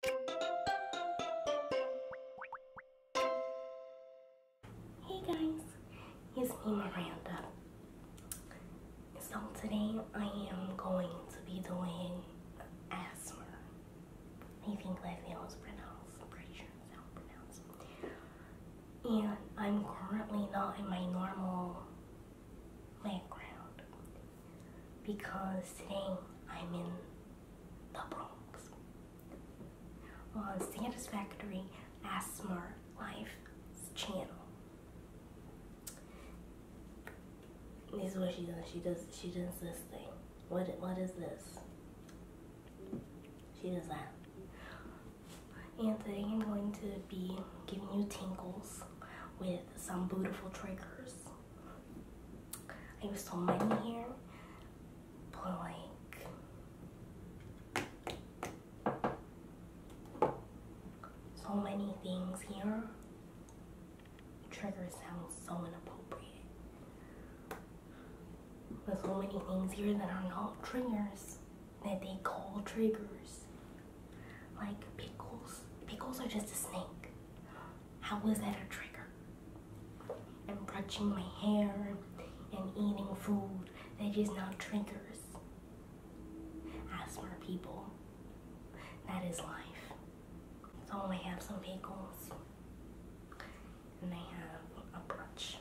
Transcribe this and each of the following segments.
Hey guys, it's me Miranda. So today I am going to be doing asthma. I think that how it's pronounced. And I'm currently not in my normal background because today I'm in the Bronx. On Santa's Factory ASMR Life's channel. This is what she does. She does she does this thing. What what is this? She does that. And today I'm going to be giving you tinkles with some beautiful triggers. I used so many here, but like so many things here. triggers sounds so inappropriate. There's so many things here that are not triggers that they call triggers. Like pickles. Pickles are just a snake. How was that a trigger? And brushing my hair and eating food, they just not triggers. Asthma people, that is life. So I have some bagels and I have a brunch.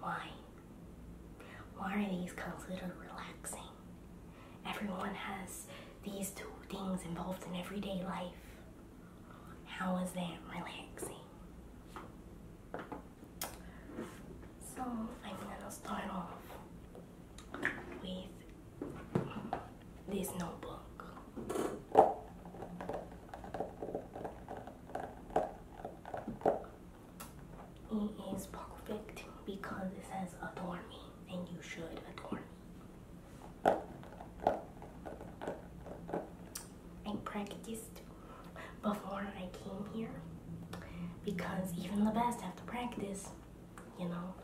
Why? Why are these considered relaxing? Everyone has these two things involved in everyday life. How is that relaxing? So I'm gonna start off with this notebook. It is perfect because it says adore me, and you should adore me. I practiced before I came here because even the best have to practice, you know.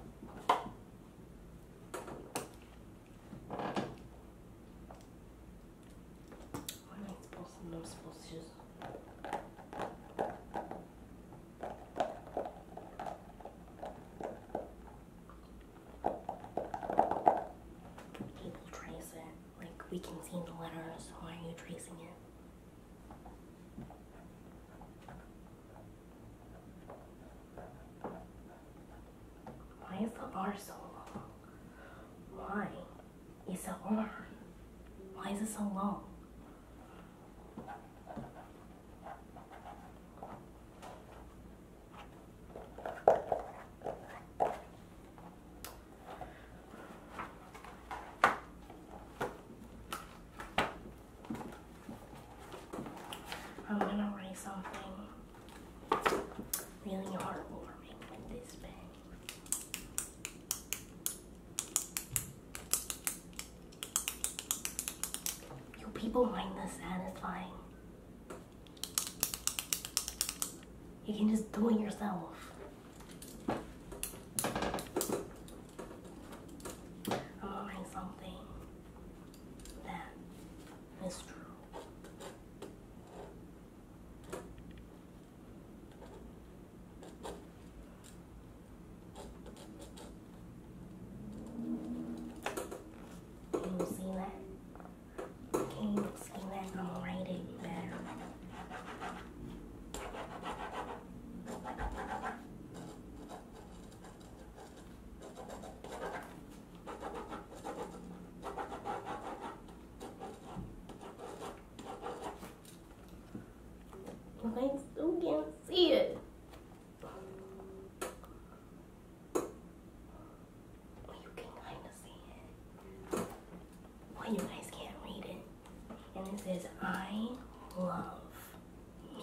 I'm not supposed to, I'm supposed to just... People trace Like, we can see the letter, why are you tracing it? Why is the bar so long? Why? is so long? Why is it so long? Oh, I'm gonna write something really heartwarming with this pen. You people find this satisfying. You can just do it yourself. I'm ordering something that is true. Can you see that? Can you see that? All right, it better. I still can't see it. Well, you can kind of see it. Well, you guys can't read it. And it says, I love me.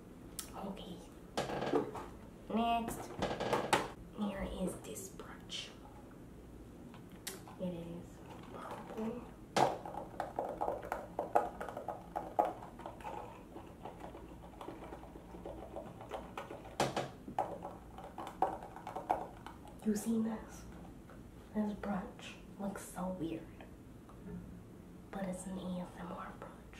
Okay. Next, here is this brooch. It is You seen this? This brooch looks so weird. But it's an ASMR brooch.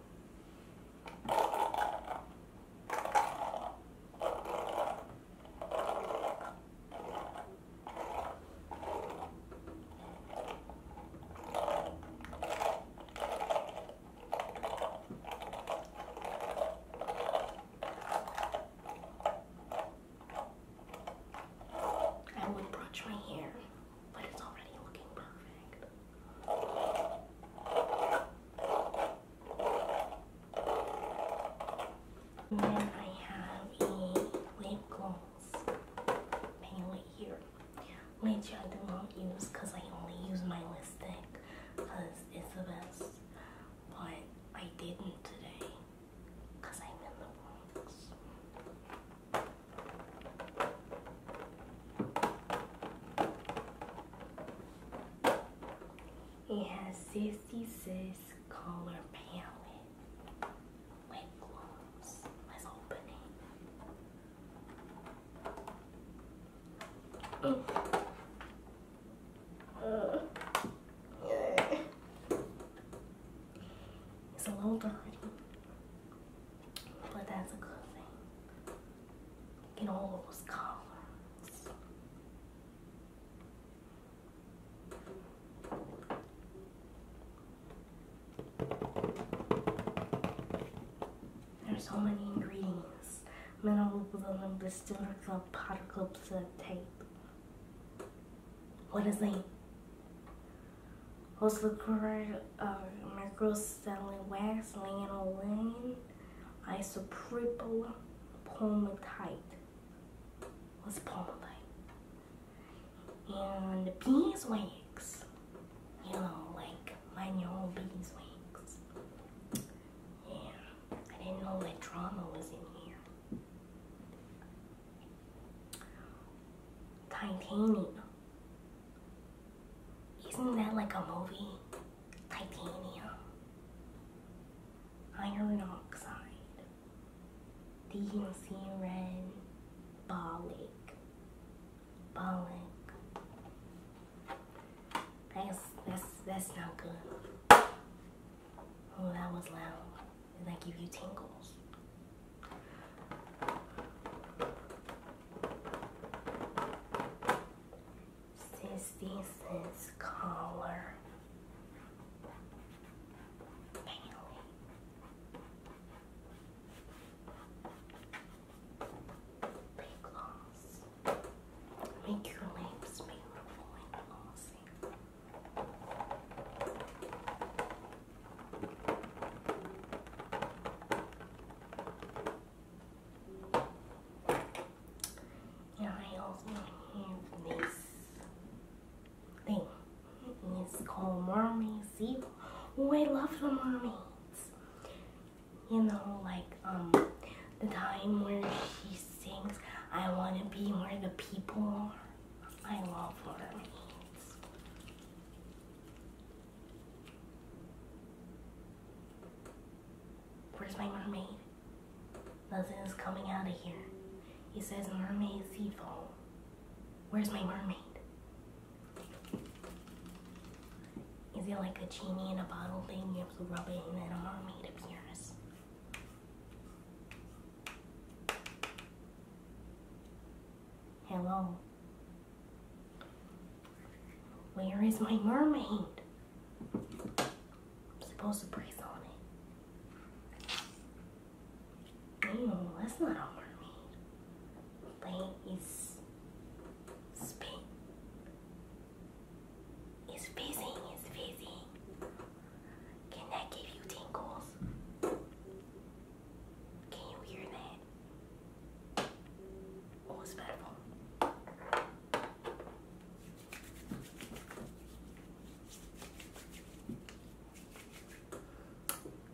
I would brush my hair then I have a lip gloss palette here, which I do not use because I only use my lipstick because it's the best, but I didn't today because I'm in the Bronx. It has 66 color palette lip gloss. Let's open it. It's a little dirty. But that's a good thing. Get all those colors? There's so many ingredients. I'm Mineral blood, distiller club, powder club, tape. What is it? was recorded um, uh, my girl Sally Wax, Lana Lane, Isa Pripple, Tight. Was Palma Tight. And beeswax. You know, like my manual beeswax. Yeah. I didn't know that drama was in here. Titanium. Isn't that like a movie? Titanium. Iron oxide. DNC red. Bollock. Bollock. That's, that's, that's not good. Oh, that was loud. Did that give you tingles? Since this is color Make your lips beautiful and glossy. Yeah, I also have this thing. It's called Mermaid Sea. love the mermaids. You know, like, um, the time where she sings, I want to be where the people are. I love mermaids. Where's my mermaid? Nothing is coming out of here. It says mermaid sea foam. Where's my mermaid? Is it like a genie in a bottle thing? You have to rub it and then a mermaid appears. Hello. Where is my mermaid? I'm supposed to breathe on it. No, that's not a mermaid. They is It's fizzing, it's fizzing. Can that give you tingles? Can you hear that? Oh, it's better.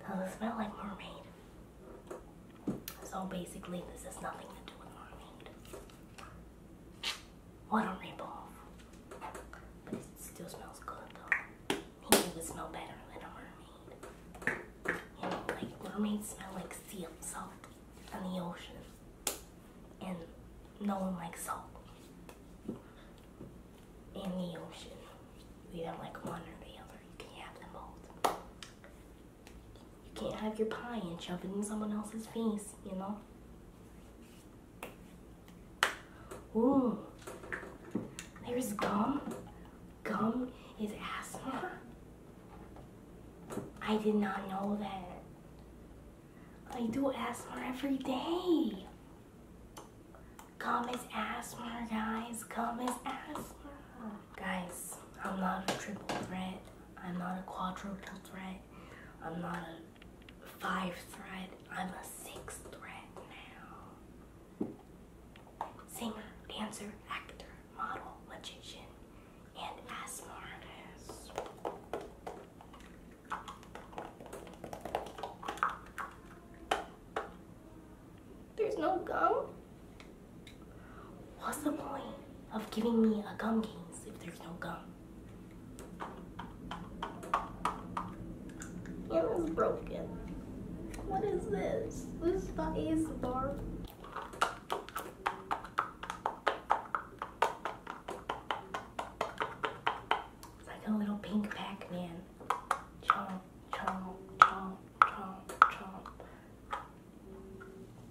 Does it smell like mermaid? So basically, this has nothing to do with mermaid. What a ripoff! But it still smells good though. He you would smell better than a mermaid. You know, like mermaids smell like sea salt on the ocean. And no one likes salt in the ocean. You don't like one or the other. You can't have them both. You can't have your pie and shove it in someone else's face, you know? Ooh, there's gum. Gum is asthma. I did not know that. I do asthma every day. Gum is asthma, guys. Gum is asthma. Guys, I'm not a triple threat. I'm not a quadruple threat. I'm not a five thread. I'm a six thread now. Singer, dancer, actor, model, magician, and asthma There's no gum? What's the point of giving me a gum case if there's no gum? It was broken. What is this? This is not ASMR. It's like a little pink Pac-Man. Chomp, chomp, chomp, chomp,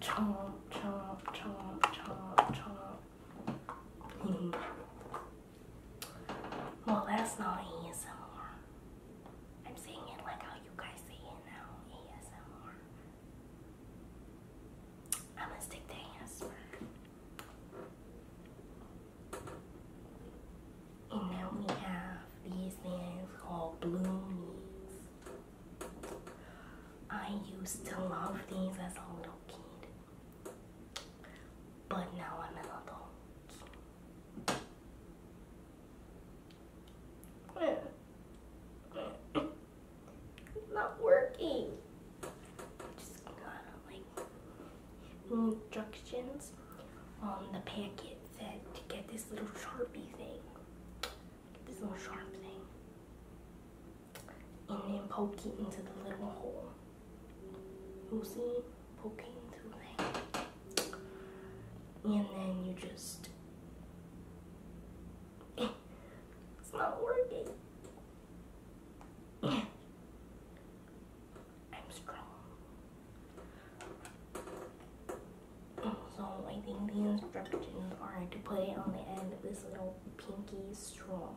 chomp. Chomp, chomp, chomp, chomp, chomp. Well, that's not ASMR. I'm saying it like how you guys say it now ASMR. I'm gonna stick to ASMR. And now we have these things called bloomies. I used to love these as a little kid but now I'm an adult. It's not working. Just got like instructions on the packet said to get this little sharpie thing. Get this little sharp thing. And then poke it into the little hole. You see, poking through there. And then you just. it's not working. I'm strong. So I think the instructions are to put it on the end of this little pinky straw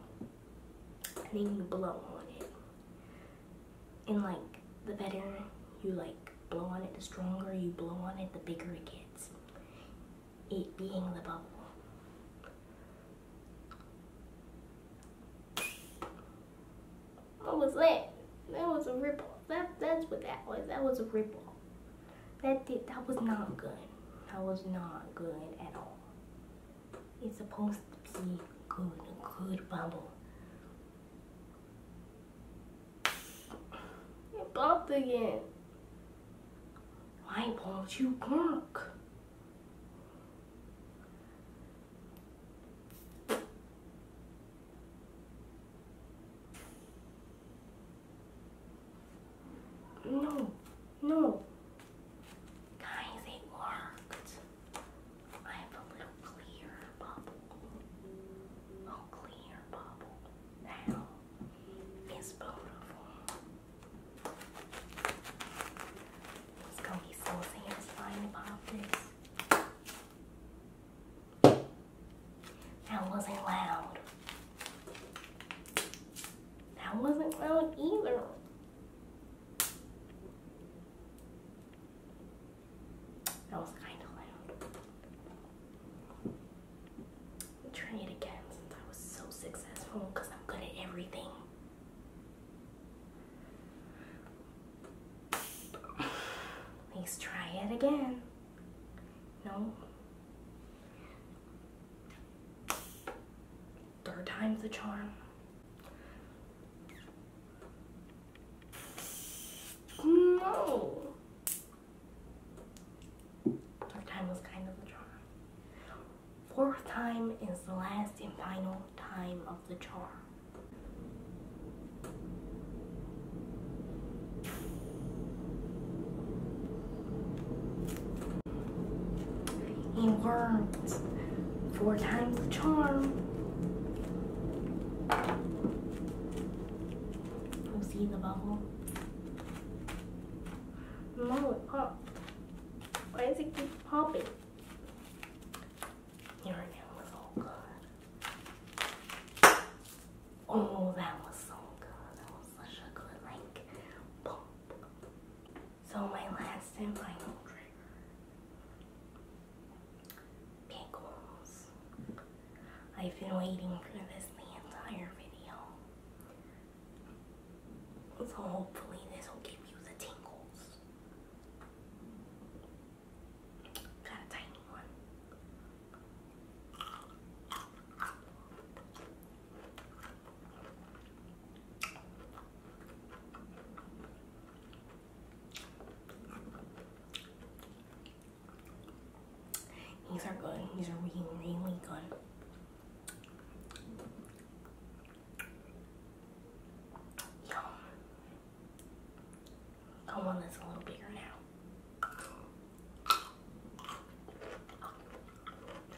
and then you blow on it. And like the better you like blow on it, the stronger you blow on it, the bigger it gets. It being the bubble. What was that? That was a ripple. That that's what that was. That was a ripple. That did that was not good. That was not good at all. It's supposed to be good, good bubble. It popped again. Why won't you work? No. No. Guys, it worked. I have a little clear bubble. Oh, clear bubble. Now, beautiful. It's gonna be so satisfying about this. That wasn't loud. That wasn't loud either. That was kind of loud. Try it again since I was so successful because I'm good at everything. Please try it again. No third time's the charm. No! Third time was kind of the charm. Fourth time is the last and final time of the charm. And worms. Four times the charm. You see the bubble? No, Why does it keep popping? Oh, that was so good. That was such a good, link. So my last and final trigger. I've been waiting for this the entire video. So hopefully this will give you the tingles. Got a tiny one. These are good. These are really, really good. Yum. I want this a little bigger now.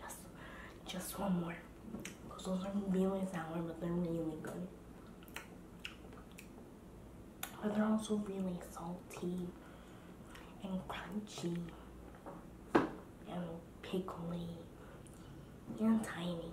Just, just one more. Cause those are really sour, but they're really good. But they're also really salty and crunchy and pickly and tiny.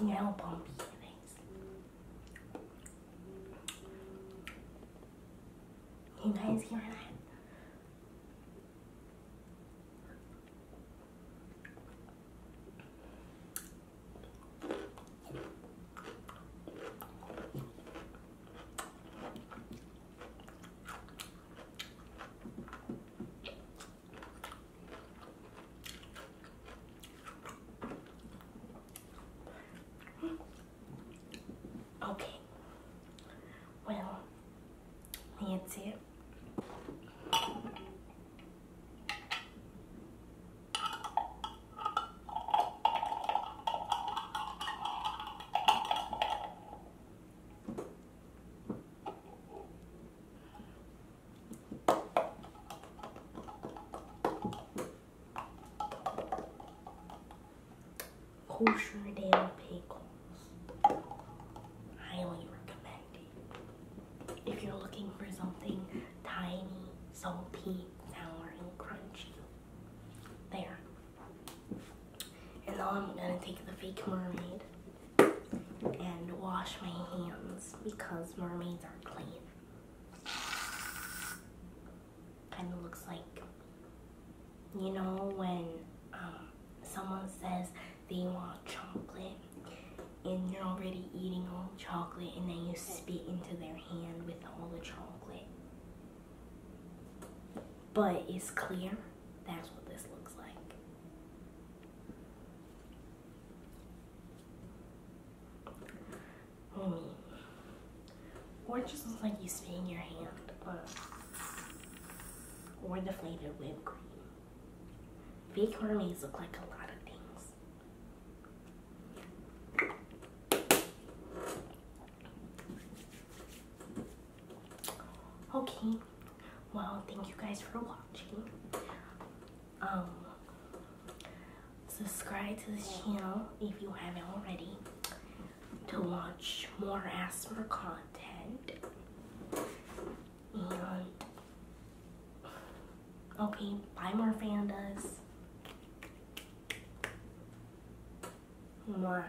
Now bomb feelings. You guys hear that? Okay. Well, that's it. Hosherdale pickles. Highly recommended. If you're looking for something tiny, salty, sour, and crunchy. There. And now I'm gonna take the fake mermaid and wash my hands because mermaids are clean. Kind of looks like, you know, when um, someone says they want chocolate and you're already eating all chocolate and then you spit into their hand with all the chocolate. But it's clear. That's what this looks like. Mm. Or just looks like you spit in your hand. Uh, or the flavored whipped cream. Fake Hermes look like a lot of things. Okay, well, thank you guys for watching um, subscribe to this channel if you haven't already to watch more ASMR content. And okay, buy more fandas. Mwah.